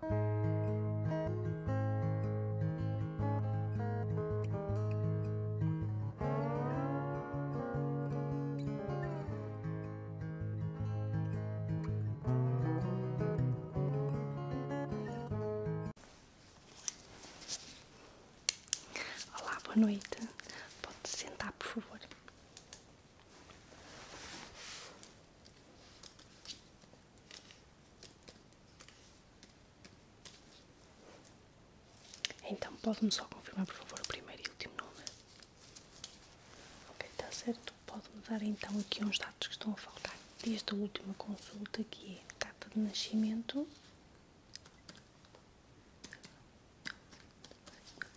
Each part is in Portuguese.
Olá, boa noite. Pode sentar, por favor. Então, pode-me só confirmar, por favor, o primeiro e último nome? Ok, está certo. Pode-me dar então aqui uns dados que estão a faltar. Desde a última consulta, que é data de nascimento.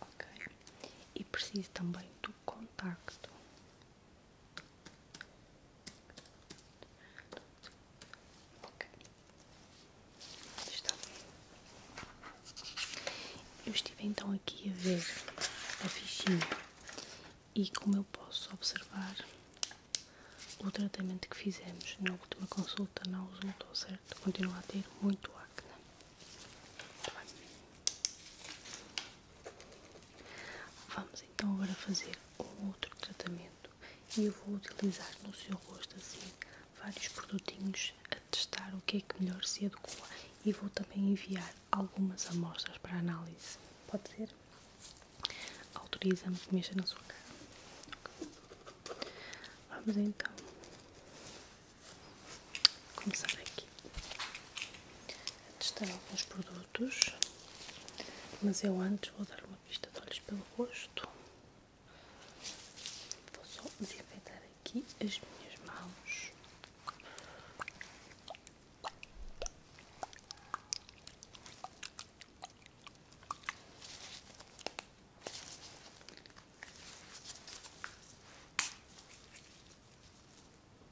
Ok. E preciso também do contacto. Está. Eu estive então aqui a ver a fichinha e como eu posso observar o tratamento que fizemos na última consulta não resultou certo, continua a ter muito acne. Muito bem. Vamos então agora fazer um outro tratamento e eu vou utilizar no seu rosto assim vários produtinhos a testar o que é que melhor se adequa e vou também enviar algumas amostras para análise. Pode ser? Autoriza-me que mexa na sua cara. Vamos então começar aqui a testar alguns produtos mas eu antes vou dar uma vista de olhos pelo rosto. Vou só desinfetar aqui as minhas mãos.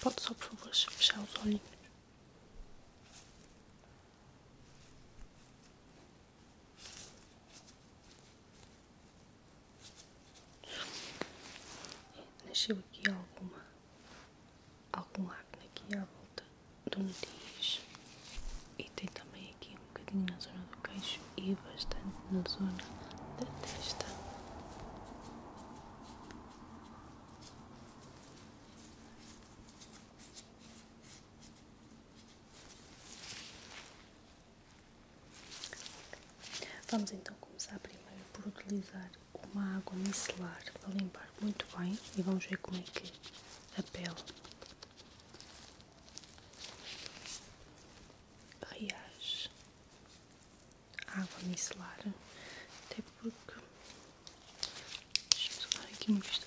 Pode só, por favor, fechar os olhinhos. Nasceu aqui alguma, algum acne aqui à volta do nariz e tem também aqui um bocadinho na zona do queixo e bastante na zona da testa. Vamos então começar primeiro por utilizar uma água micelar para limpar muito bem e vamos ver como é que a pele reage à água micelar, até porque. Deixa-me solar aqui no visto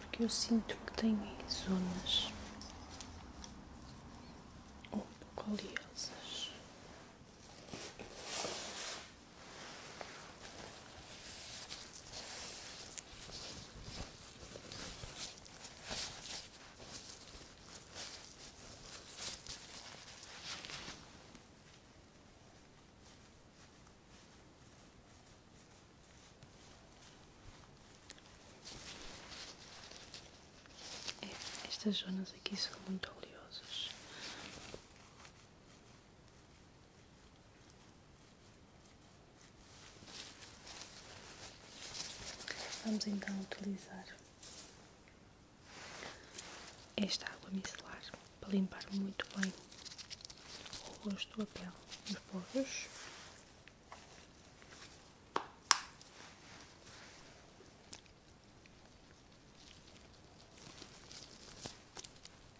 Porque eu sinto que tem zonas um é, estas zonas aqui são muito oleosas. Vamos então utilizar esta água micelar para limpar muito bem o rosto, do pele e os poros.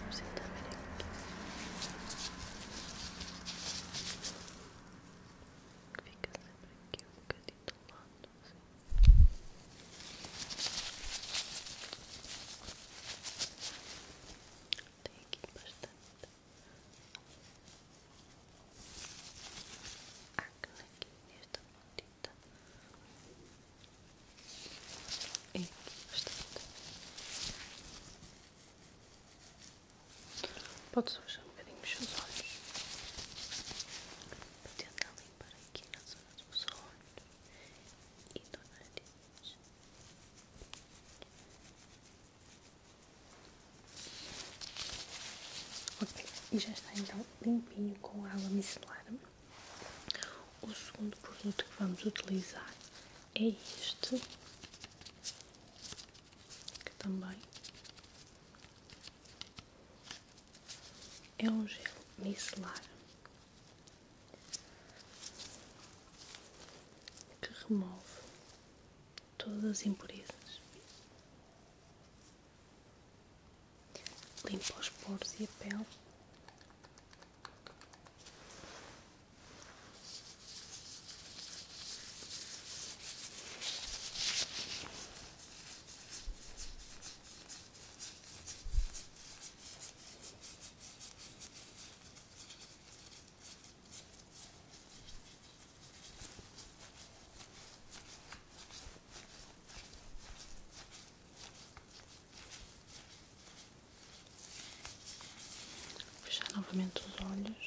Vamos sentar aqui. Fica sempre aqui um bocadinho do assim, lado, Tem aqui bastante aqui nesta direita. E aqui Pode só fechar um bocadinho os seus olhos. Vou tentar limpar aqui na zona dos olhos e do nariz. Ok, e já está então limpinho com água micelar. O segundo produto que vamos utilizar é este, que também é um gel micelar que remove todas as impurezas Limpa os poros e a pele. Fechar novamente os olhos.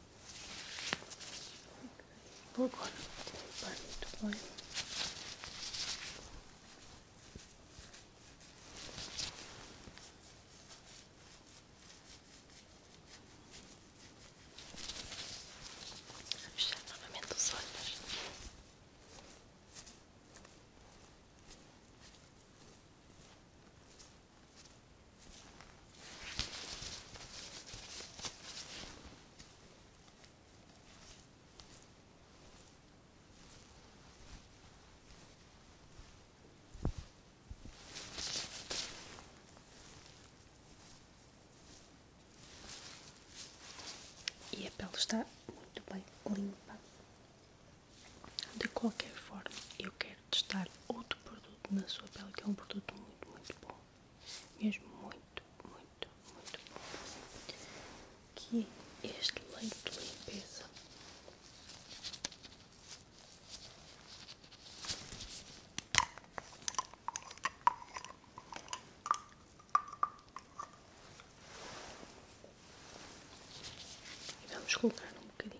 vou Burgund Burgund Vou fechar novamente os olhos. E a pele está muito bem limpa. De qualquer forma, eu quero testar outro produto na sua pele, que é um produto muito, muito bom. Mesmo muito, muito, muito bom. Que é este leite de limpeza. E vamos colocar um bocadinho.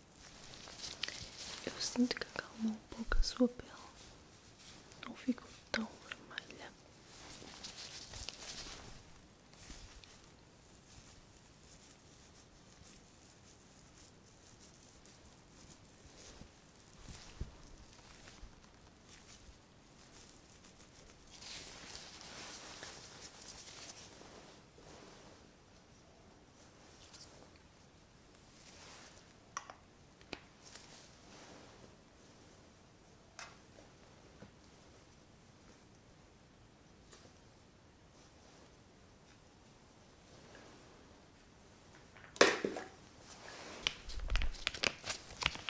Eu sinto que acalma um pouco a sua pele. Não ficou tão vermelha.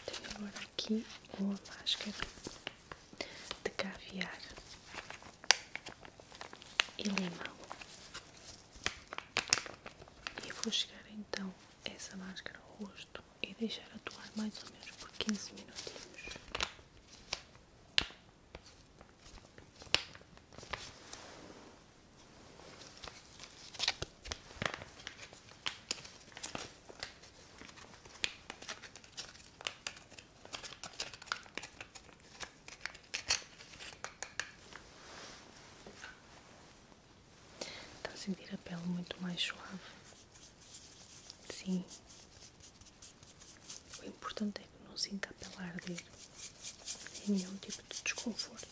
Tenho agora aqui uma máscara de caviar e limão. E vou chegar então essa máscara ao rosto e deixar atuar mais ou menos por 15 minutinhos. Está a sentir a pele muito mais suave? Sim. O importante é que não sinta a pele arder, nem é nenhum tipo de desconforto.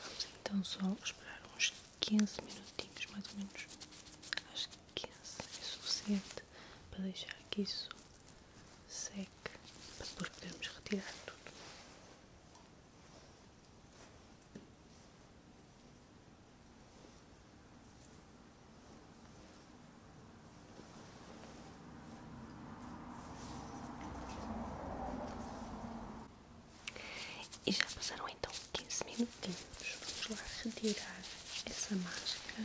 Vamos então só esperar uns 15 minutinhos, mais ou menos. Acho que 15 é suficiente para deixar que isso seque, para depois podermos retirar tudo. E já passaram então quinze minutinhos. Vamos lá retirar essa máscara.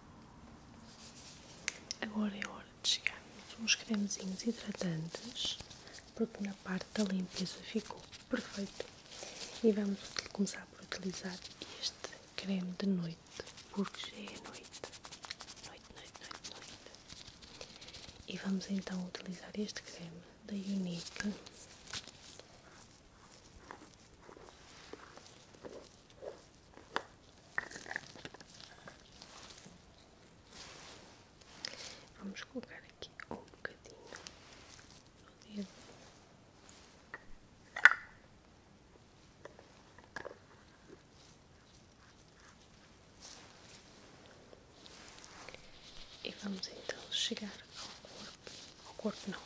Agora é hora de chegarmos uns cremezinhos hidratantes, porque na parte da limpeza ficou perfeito. E vamos começar por utilizar este creme de noite, porque já é noite. Noite, noite, noite, noite. E vamos então utilizar este creme da Unique. Vamos colocar aqui um bocadinho no dedo. E vamos então chegar ao corpo, ao corpo não,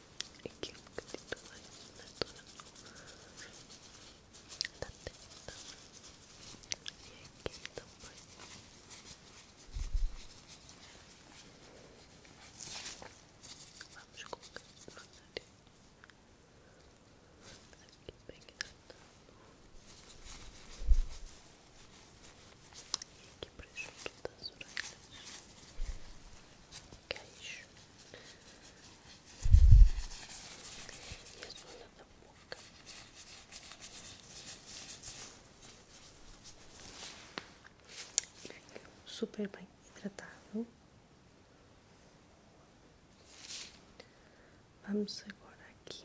aquilo que titulei na tua da testa e aqui também vamos colocar no nariz aqui bem hidratado e aqui para junto das orelhas queixo e a zona da boca. Super bem hidratado. Vamos agora aqui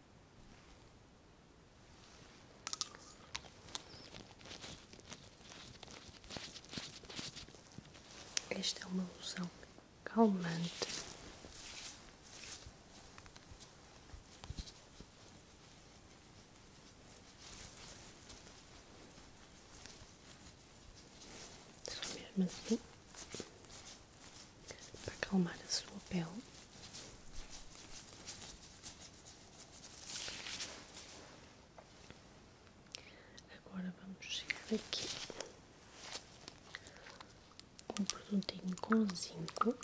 Esta é uma loção calmante. Só mesmo assim para acalmar a sua pele. Agora vamos chegar aqui um produtinho com zinco.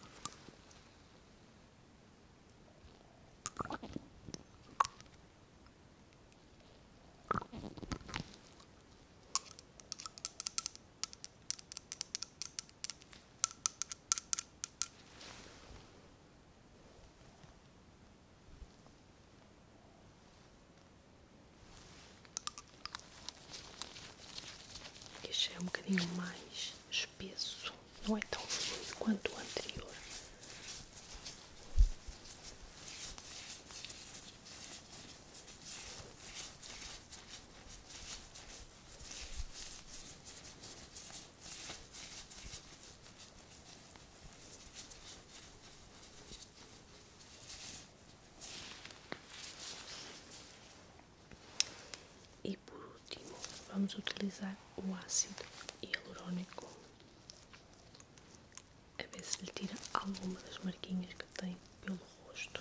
Este é um bocadinho mais espesso, não é tão fluido quanto o anterior. E por último, vamos utilizar o ácido hialurónico. a ver se lhe tira alguma das marquinhas que tem pelo rosto.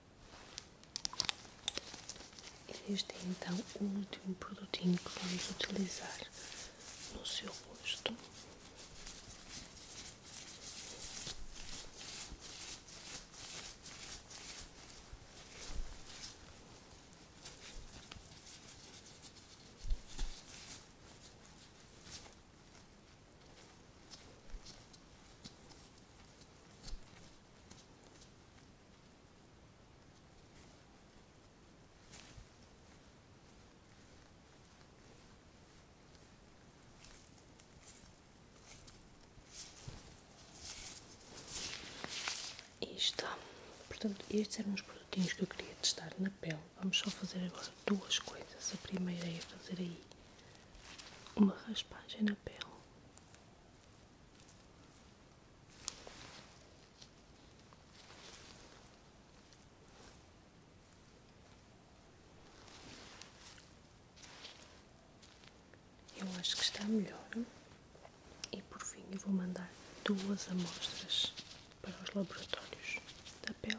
este é então o último produtinho que vamos utilizar no seu rosto isto Portanto, estes eram os produtinhos que eu queria testar na pele. Vamos só fazer agora duas coisas. A primeira é fazer aí uma raspagem na pele eu acho que está melhor. E por fim, eu vou mandar duas amostras para os laboratórios da pele.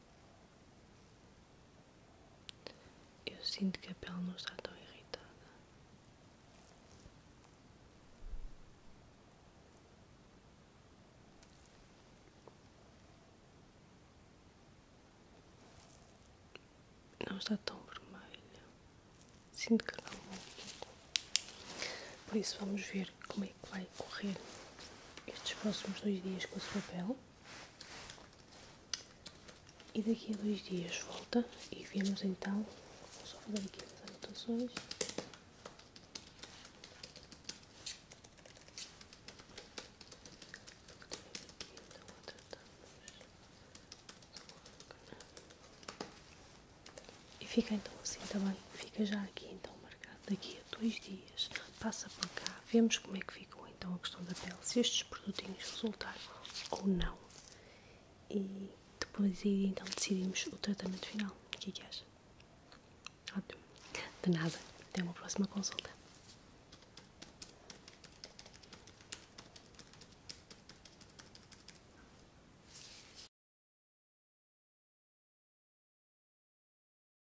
Eu sinto que a pele não está tão irritada. Não está tão vermelha. Sinto que não Por isso vamos ver como é que vai correr estes próximos dois dias com a sua pele. E daqui a dois dias volta e vemos então, vou só fazer aqui as anotações. E fica então assim, também. Fica já aqui então marcado. Daqui a dois dias passa por cá vemos como é que ficou então a questão da pele, se estes produtinhos resultaram ou não. E depois então decidimos o tratamento final. O que é que acha? Ótimo. De nada. Até uma próxima consulta.